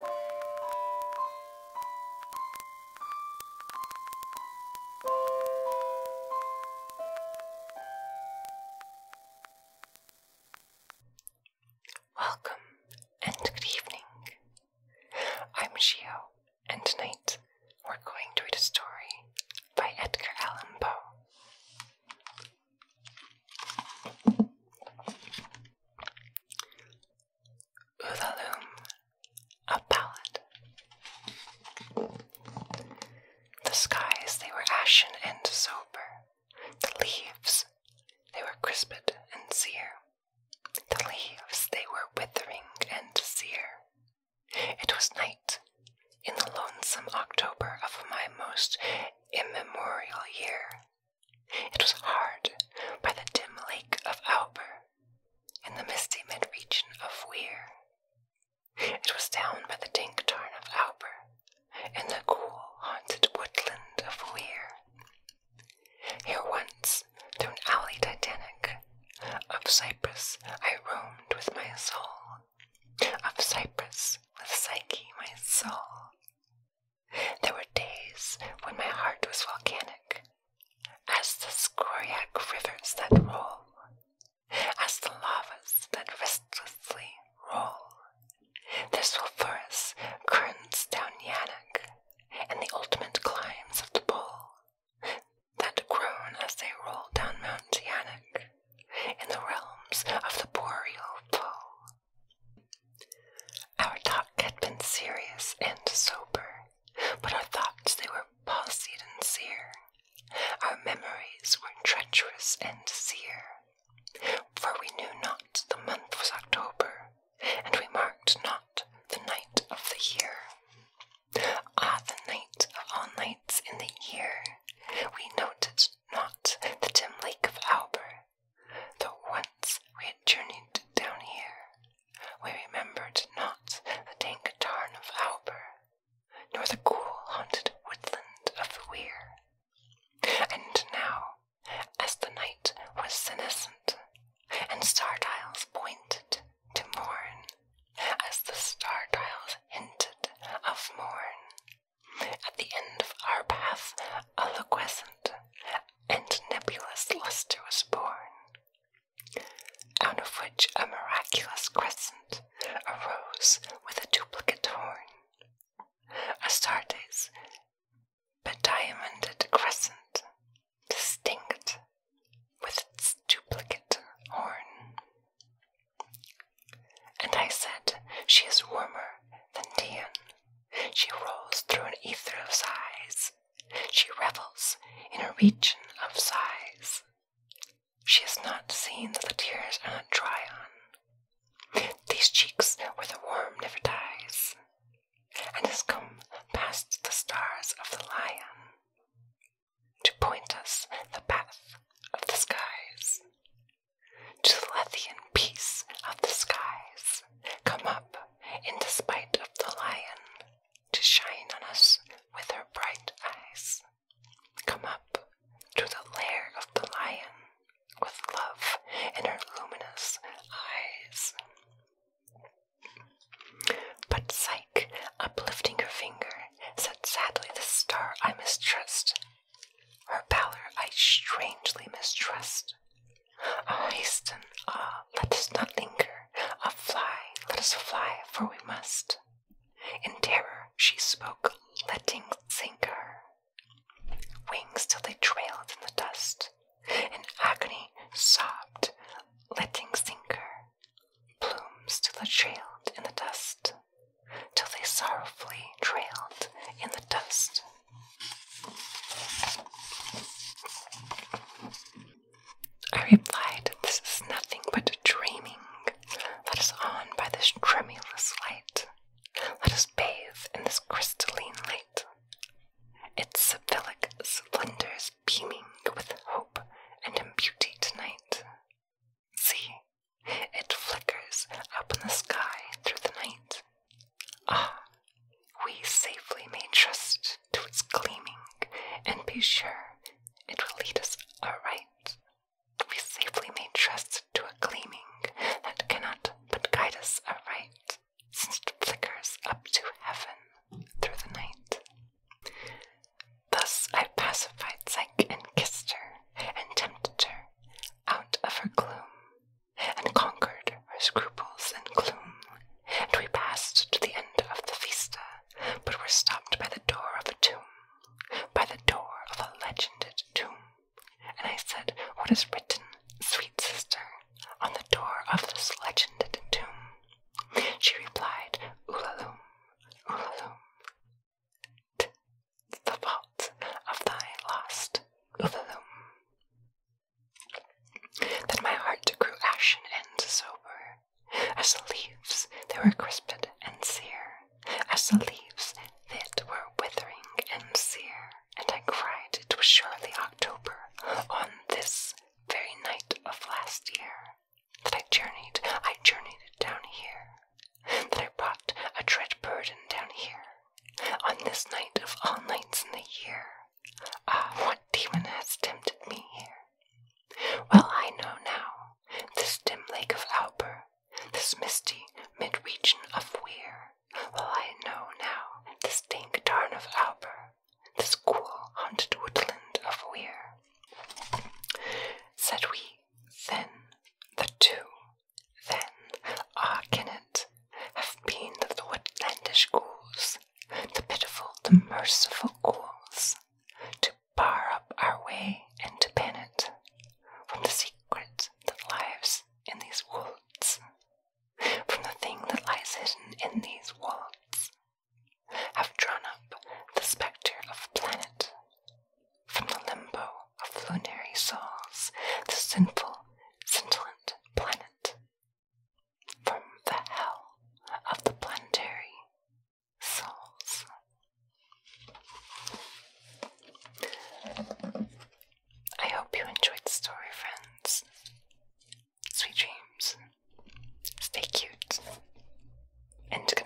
Welcome and good evening. I'm Shio, and tonight we're going to read a story by Edgar Allan Poe. Uthaloom, a palette. The skies, they were ashen and sober. The leaves, they were crisped and sere. The leaves, they were withering and sere. It was night in the lonesome October of my most immemorial year. It was hard by the dim lake of Auber in the misty mid region of Weir. It was down by the dank tarn of Auber in the cool, haunted woodland of Weir. Here once, through an alley titanic, of Cyprus I roamed with my soul, of Cyprus with Psyche my soul. There were days when my heart was volcanic, as the scoriae rivers that roll, as the lavas that restlessly roll. Their sulphurous currents down Yanak, and the ultimate climbs of the pole that groan as they roll down Mount Yanak, in the realms of the boreal pole. Our talk had been serious and sober, but our thoughts they were palsied and sear. Our memories were treacherous and sear, for we knew not the month was October, and we marked not the night of the year. Ah, the night of all nights in the year, we noted not the dim lake of Auber, though once we had journeyed down here, we remembered not the dank tarn of Auber, nor the cool haunted woodland of the Weir. And now, as the night was senescent, and star dials pointed to morn, as the star dials hinted of morn, at the end of our path a loquescent and nebulous luster was born, out of which a miraculous crescent arose with a duplicate horn, Astartes, bediamonded crescent, distinct with its duplicate horn. And I said, She is warmer than Dian, she rolls through an ether of sighs. She revels in a region of sighs. She has not seen that the tears are not dry on. These cheeks where the worm never dies, and has come past the stars of the lion to point us the path of the skies to the Lethian peace of the skies, come up in despite of the lion to shine on us with her bright eyes. Come up to the lair of the lion with love in her luminous eyes. But Psyche, uplifting her finger, said sadly, The star I mistrust her pallor I strangely mistrust. Oh, hasten, ah, let us not linger. Ah, fly, let us fly, for we must. In terror she spoke, letting sink her. Wings till they trailed in the dust. In agony sobbed, letting sink her. Plumes till they trailed in the dust. Till they sorrowfully trailed in the dust. I replied, This is nothing but dreaming. Let us on by this tremulous light. Let us bathe in this crystalline light. Its sibyllic splendors beaming with hope and in beauty tonight. See, it flickers up in the sky through the night, Ah, we safely may trust to its gleaming and be sure it will lead us aright. We safely may trust to a gleaming that cannot but guide us aright, since it flickers up to heaven through the night. Thus I pacified Psyche and kissed her and tempted her out of her gloom and conquered our scruples and gloom, and we passed to the end of the vista, but were stopped by the door of a tomb, by the door of a legended tomb. And I said, What is written, sweet sister, on the door of this legended tomb? She replied, Ulalum, Ulalum the fault of thy lost Uvulum. Then my heart grew ashen and sober, as the leaves that were crisped and sere, as the leaves that were withering and sere, and I cried it was surely October on this very night of last year. That I journeyed, I journeyed down here, that I brought a dread burden down here, on this night of all nights in the year, ah, what demon has tempted me here? Well, I know now this dim lake of Alper, this misty mid region of Weir. Well, I know now this dank tarn of Alper, this cool haunted woodland of Weir. Said we then, the two, then ah, can it have been the woodlandish ghouls, the pitiful, the merciful ghouls, to bar up our way and to pen it from the secret that lives in these woods, from the thing that lies hidden in these woods, have drawn up the spectre of planet from the limbo of lunary souls, the sinful, scintillant planet. From the hell of the planetary souls. I hope you enjoyed the story, friends. Sweet dreams. Stay cute. And good